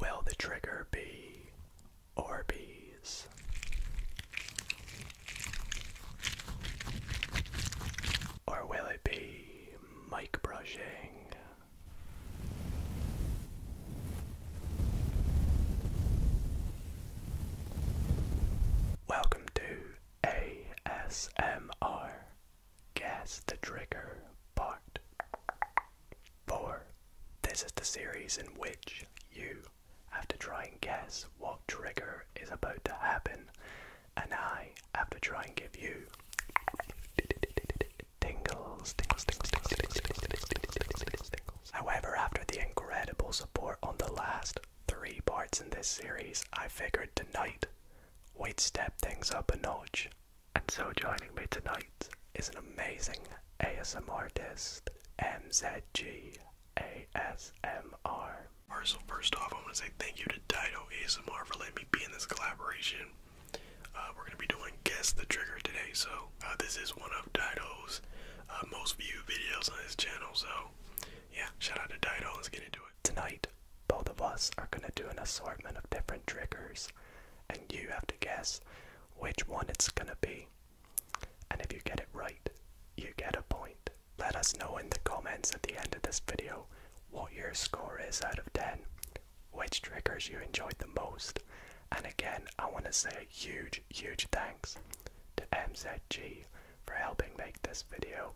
Will the trigger be Orbeez? Or will it be mic brushing? Welcome to ASMR Guess the Trigger Part 4. This is the series in which you have to try and guess what trigger is about to happen, and I have to try and give you tingles, tingles, tingles, tingles, tingles, tingles, tingles, tingles. However, after the incredible support on the last three parts in this series, I figured tonight we'd step things up a notch and so joining me tonight is an amazing ASM artist, MZG ASMR. so first off, I want to say thank you to Dido ASMR for letting me be in this collaboration. Uh, we're going to be doing Guess the Trigger today, so uh, this is one of Dido's uh, most viewed videos on his channel, so yeah, shout out to Dido, let gonna do it. Tonight, both of us are going to do an assortment of different triggers and you have to guess which one it's gonna be. And if you get it right, you get a point. Let us know in the comments at the end of this video what your score is out of 10, which triggers you enjoyed the most. And again, I want to say huge, huge thanks to MZG for helping make this video.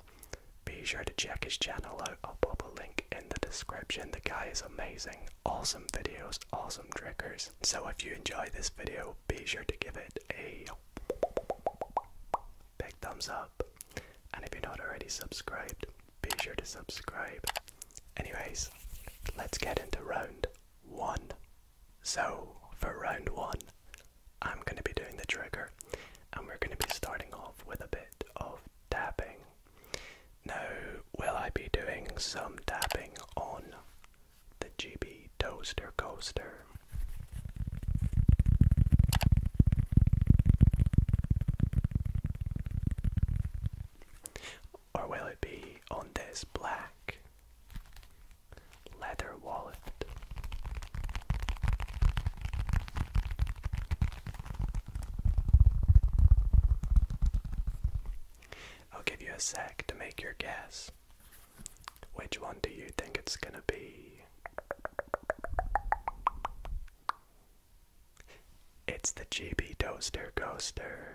Be sure to check his channel out, I'll pop a link in the description. The guy is amazing. Awesome videos, awesome triggers. So if you enjoy this video, be sure to give it a big thumbs up. And if you're not already subscribed, be sure to subscribe. Anyways, let's get into round one. So for round one, I'm going to be doing the trigger and we're going to be starting off with a bit of dabbing. Now, will I be doing some dabbing on the GB Toaster Coaster? Or will it be on this black leather wallet? I'll give you a sec to make your guess. Which one do you think it's gonna be? It's the GB Toaster Coaster.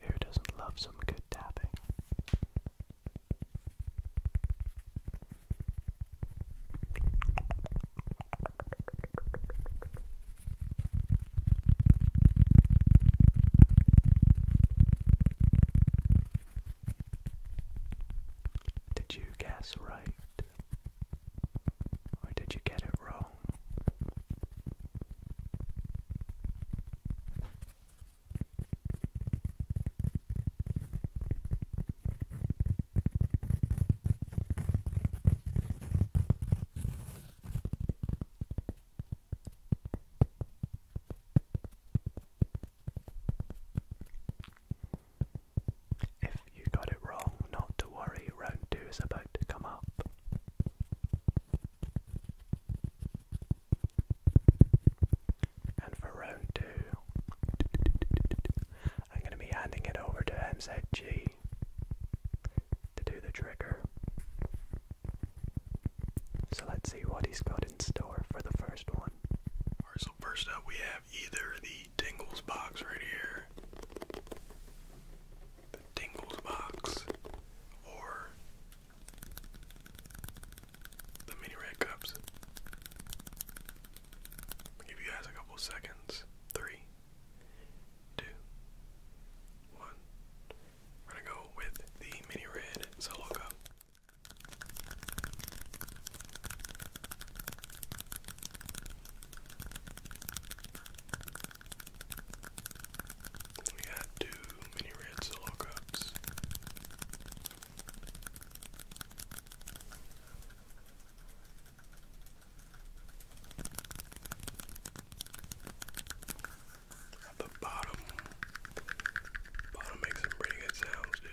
Who doesn't love some good tapping? Did you guess right? Or did you get it wrong? If you got it wrong, not to worry, round two is about to come up. And for round two, I'm going to be handing it over to MZG to do the trigger. So let's see what he's got in store for the first one. Alright, so first up we have either the Tingles box right here, the Tingles box, or the mini red cups. give you guys a couple seconds. Three, two, one. We're gonna go with the mini red solo cup. We got two mini red solo cups. At the bottom, bottom makes some pretty good sounds, dude.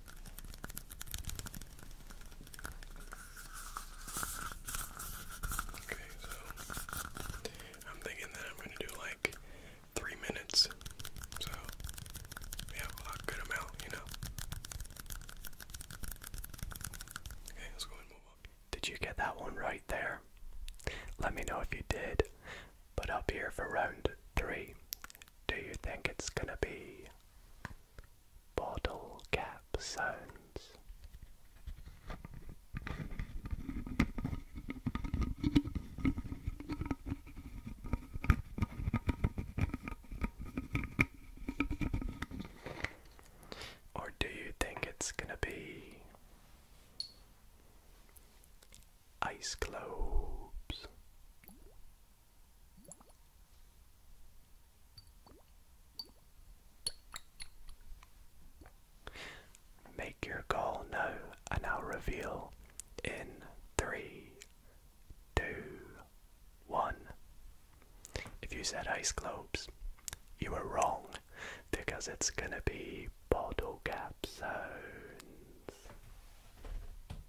Okay, so I'm thinking that I'm gonna do like three minutes. So yeah, a good amount, you know. Okay, let's go and move on. Did you get that one right there? Let me know if you did. But up here for round three, do you think it's gonna be bottle cap sounds. Or do you think it's gonna be ice globes Make your goal now, and I'll reveal in three, two, one. If you said ice globes, you were wrong because it's gonna be bottle caps.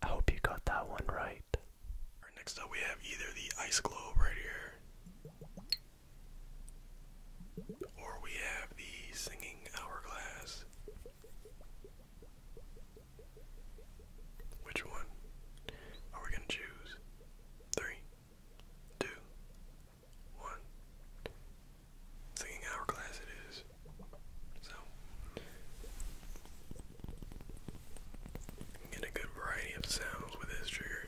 I hope you got that one right. Next up, we have either the ice globe right here, or we have the singing hourglass. Which one are we going to choose? Three, two, one. Singing hourglass it is. So, get a good variety of sounds with this trigger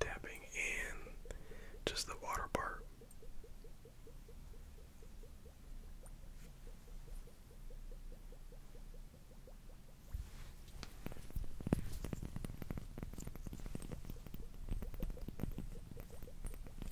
tapping in just the water part.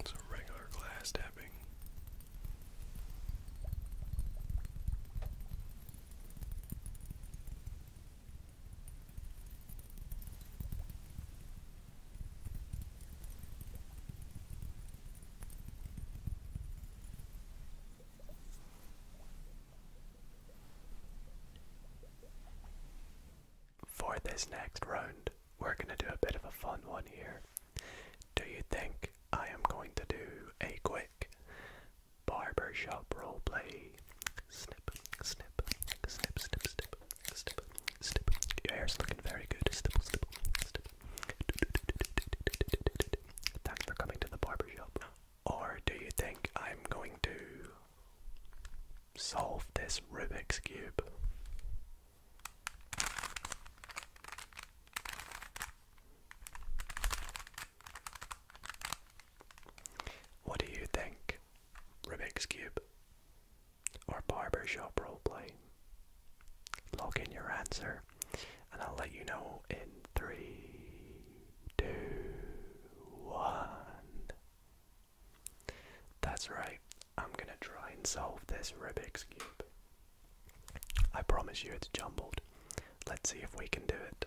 It's a regular glass tapping. For this next round, we're going to do a bit of a fun one here. Do you think I am going to do a quick Barbershop roleplay. Snip, snip, snip, snip, snip, snip, snip. Your hair's looking very good. Snip, snip, snip. Thanks for coming to the barbershop. Or do you think I'm going to solve this Rubik's Cube? What do you think? Rubik's Cube or barbershop roleplay? Log in your answer and I'll let you know in three, two, one. That's right, I'm gonna try and solve this Rubik's Cube. I promise you it's jumbled. Let's see if we can do it.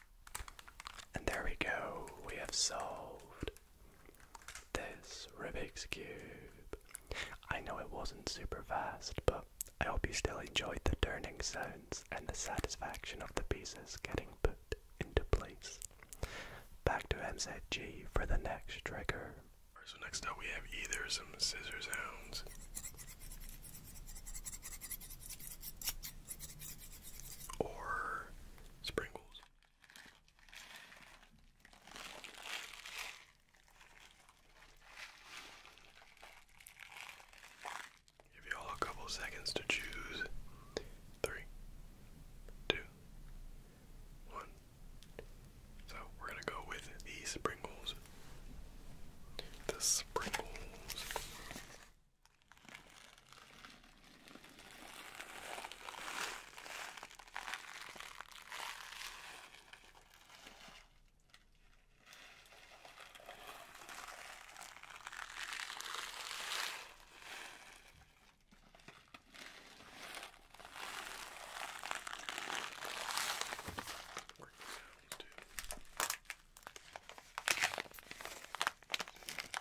And there we go, we have solved this Rubik's Cube. I know it wasn't super fast, but I hope you still enjoyed the turning sounds and the satisfaction of the pieces getting put into place. Back to MZG for the next trigger. So next up we have either some scissor sounds or spring Give you all a couple seconds to choose. Three, two, one. So we're gonna go with the sprinkles. The sprinkles. Working down, you do.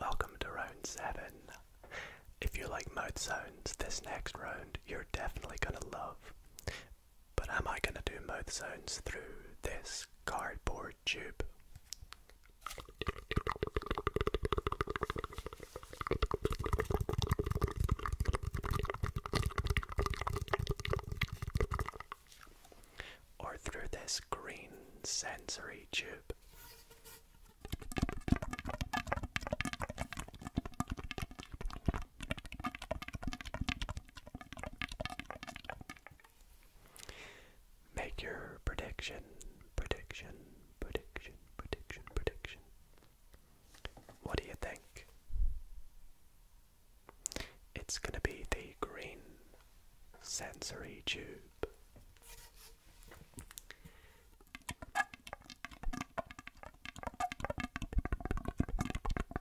Welcome to round seven. If you like mouth sounds, this next round you're definitely gonna love. But am I gonna do mouth zones through this cardboard tube? Or through this green sensory tube? Make your prediction, prediction, prediction, prediction, prediction. What do you think? It's going to be the green sensory tube.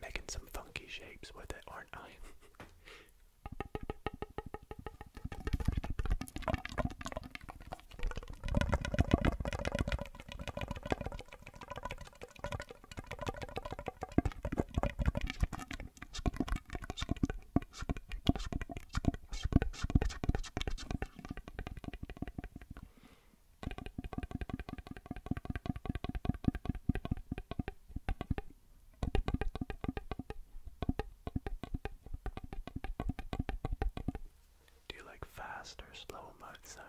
Making some funky shapes with it, aren't I? Do you like fast or slow mode sounds?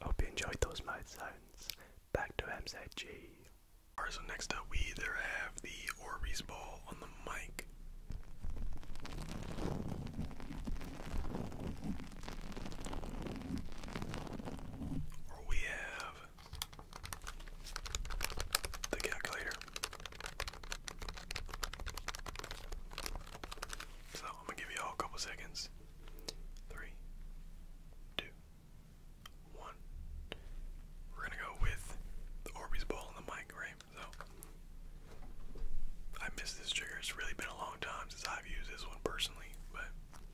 Hope you enjoyed those mouth sounds. Back to MZG. Alright, so next up we either have the Orbeez ball on the mic. Or we have the calculator. So I'm gonna give you all a couple seconds. Three, two, one. We're gonna go with the Orbeez ball and the mic, right? So I miss this trigger. It's really been a long time since I've used this one personally, but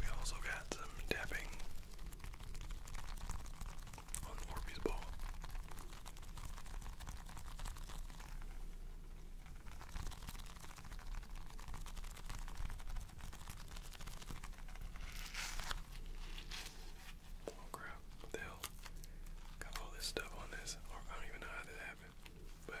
We also got some tapping on Orbeez ball. Oh crap, what the hell? Got all this stuff on this. I don't even know how that happened. But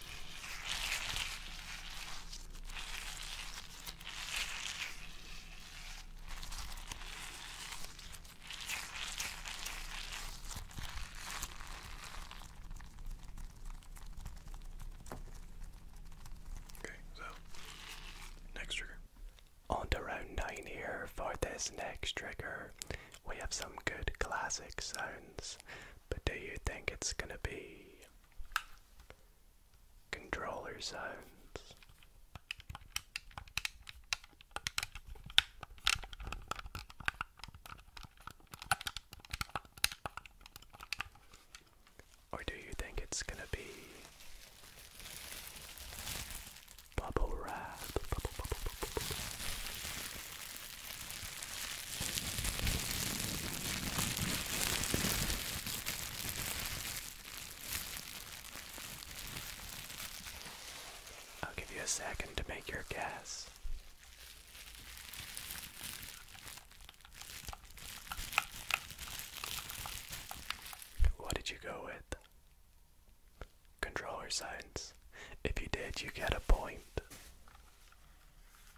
Okay, so next trigger. On to round 9 here. For this next trigger, we have some good classic sounds, but do you think it's gonna be controller zones. Or do you think it's gonna be bubble wrap? I'll give you a second to make your guess. What did you go with? Controller science. If you did, you get a point.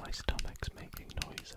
My stomach's making noises.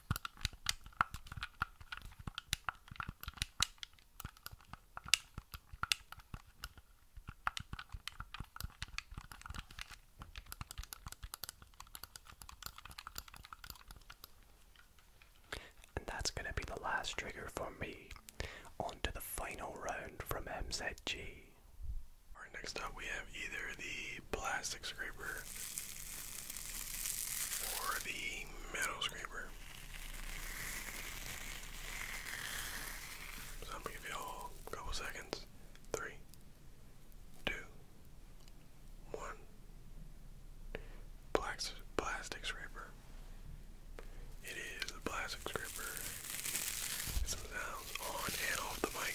And that's going to be the last trigger for me. On to the final round from MZG. Alright, next up we have either the plastic scraper or the metal scraper. So I'm gonna give y'all a couple seconds. Three, two, one. Plastic, scraper. It is the plastic scraper. Get sounds on and off the mic.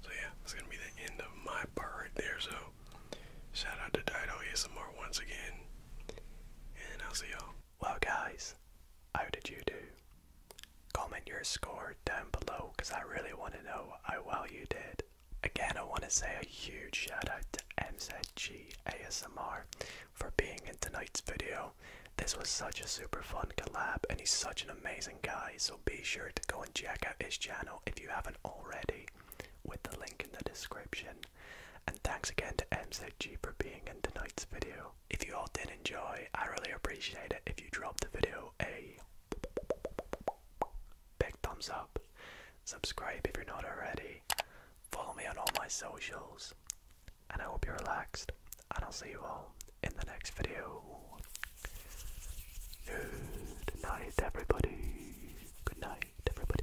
So yeah, that's gonna be the end of my part there. So shout out to Dido ASMR once again, and I'll see y'all. Well guys, how did you do? Comment your score down below because I really want to know how well you did. Again, I want to say a huge shout out to MZG ASMR for being in tonight's video. This was such a super fun collab, and he's such an amazing guy. So be sure to go and check out his channel if you haven't already, with the link in the description. And thanks again to MZG for being in tonight's video. If you all did enjoy, I really appreciate it if you drop the video a big thumbs up, subscribe if you're not already, follow me on all my socials, and I hope you're relaxed. And I'll see you all in the next video. Good night, everybody. Good night, everybody.